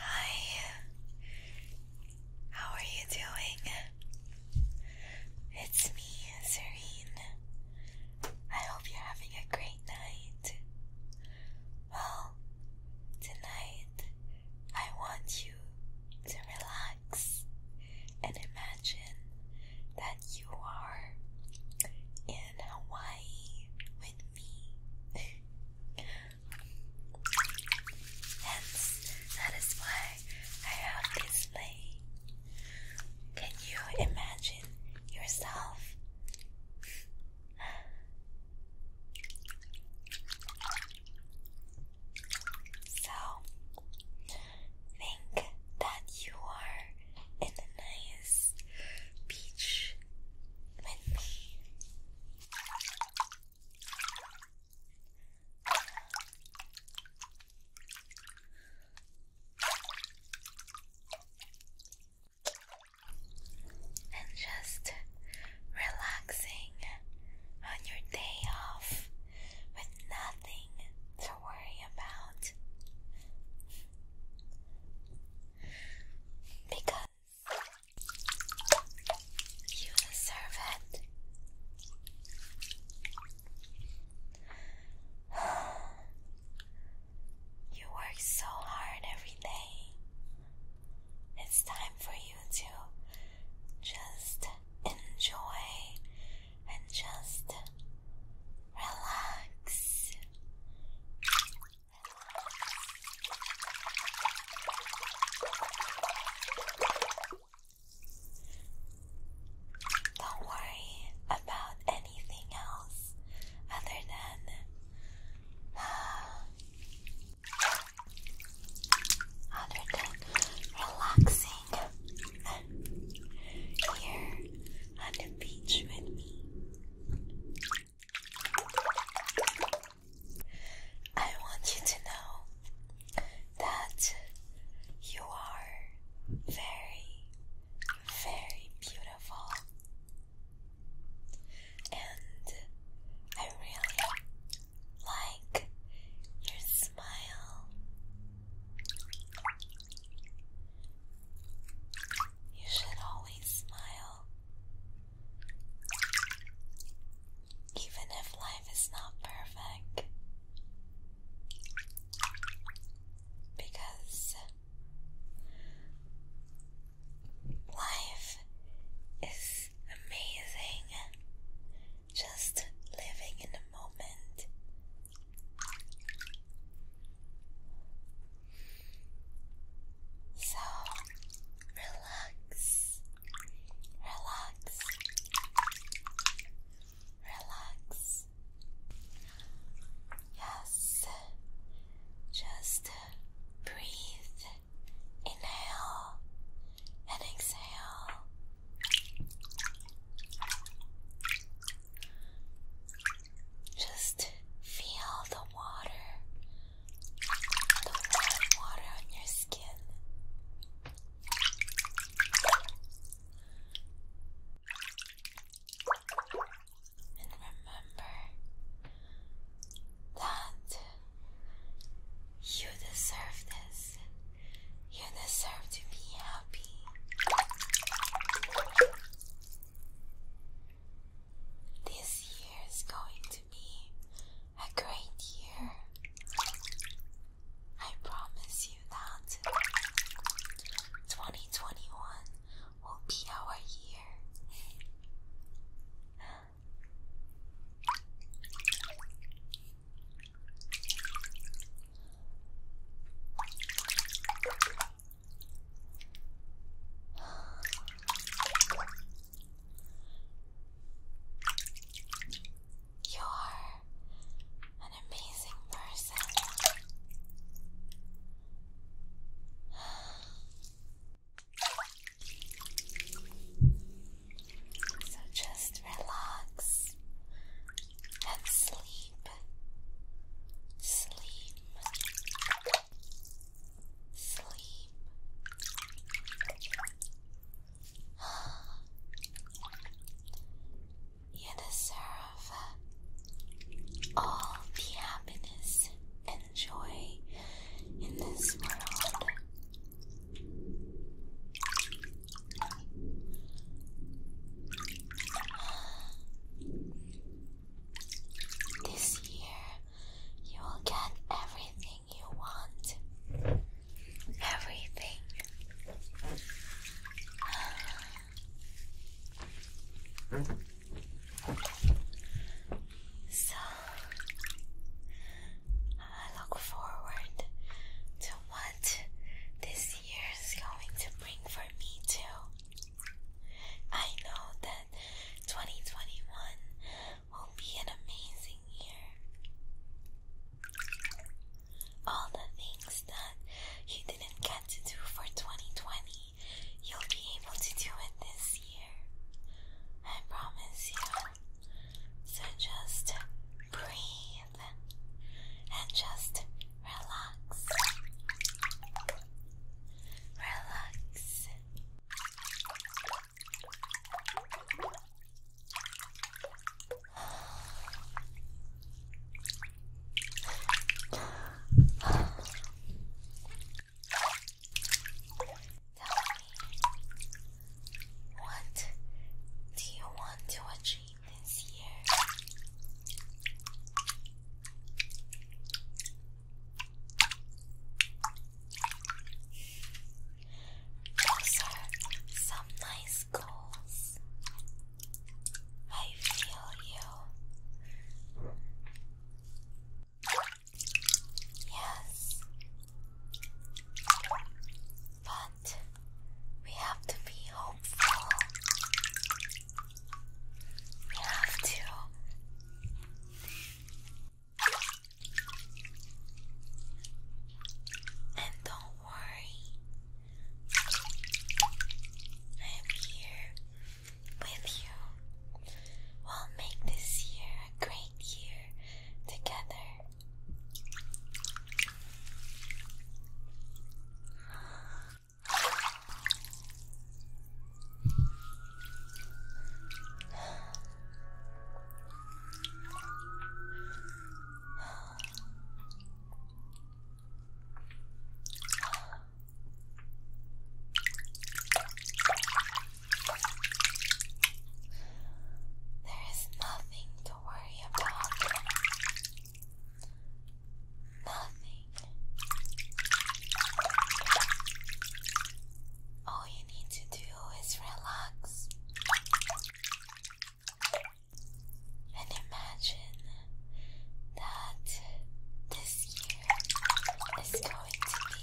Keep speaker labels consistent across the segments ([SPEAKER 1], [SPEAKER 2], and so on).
[SPEAKER 1] Hi, how are you doing? It's me, Serene. I hope you're having a great night. Well, tonight I want you to relax and imagine that you are in Hawaii with me. Hence, that is why I have this name. Can you imagine yourself? So, think that you are in the nice beach with me. And just relaxing on your day off with nothing to worry about. Because you deserve it. You work so hard every day. It's time for you to just enjoy and just relax. Don't worry about anything else other than uh, other than relaxing here on the beach with me. I want you to know that you are very, very beautiful, and I really like your smile. You should always smile. Even if life is not perfect, because life is amazing. Just living in the moment so relax, relax, relax. Yes, just breathe, inhale and exhale. Just feel the water, the warm water on your skin. And remember that you deserve this. You deserve to be happy. This year is going to be a great year. I promise you that 2021 will be our year. You are an amazing person. So just relax and sleep. Sleep. Sleep. You deserve all the happiness and joy in this world. This year, you will get everything you want. Everything. So I look forward to what this year is going to bring for me, too. I know that 2021 will be an amazing year. All the things that you didn't get to do for 2020, you'll be able to do it this year. I promise you. So just breathe and just relax. Relax. Tell me, what do you want to achieve this year? Those are some nice goals. I feel you. Yes. But we have to be hopeful. We have to. And don't worry, I'm here with you. We'll make this year a great year together. There is nothing to worry about. Nothing. All you need to do is relax and imagine that this year is going to be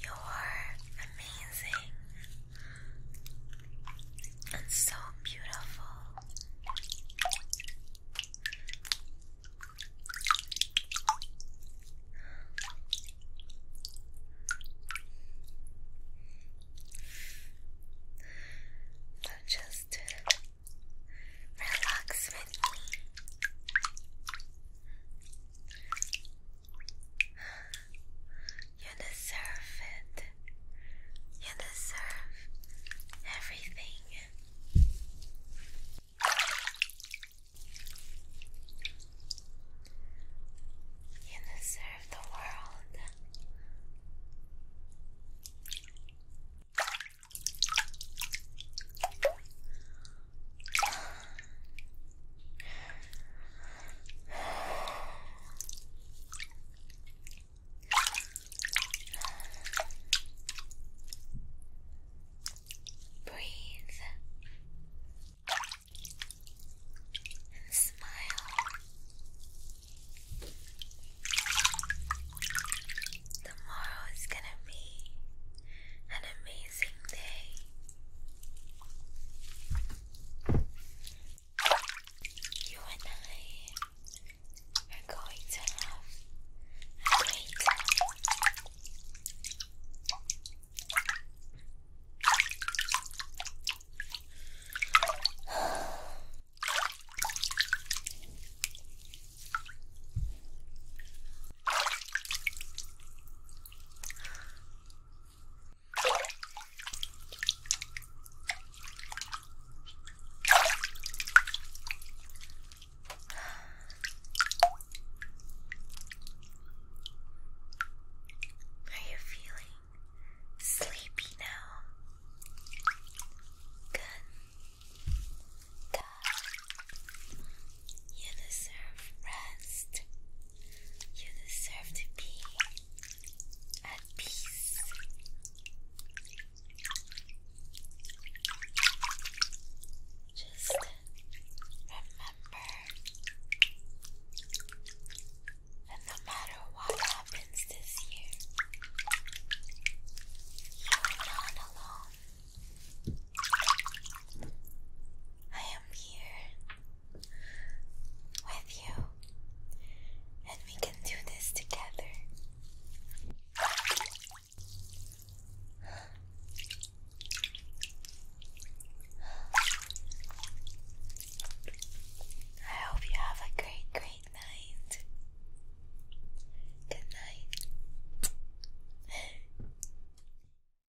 [SPEAKER 1] You're amazing. And so beautiful. So just relax with me. You deserve it. You deserve everything. You deserve the world. Breathe and smile. Tomorrow is gonna be an amazing day. You and I are going to have a great Are you feeling sleepy now? Good. You deserve rest. You deserve to be at peace. Just remember no matter what happens this year, you are not alone. I am here with you, and we can do this together. I hope you have a great, great night. Good night.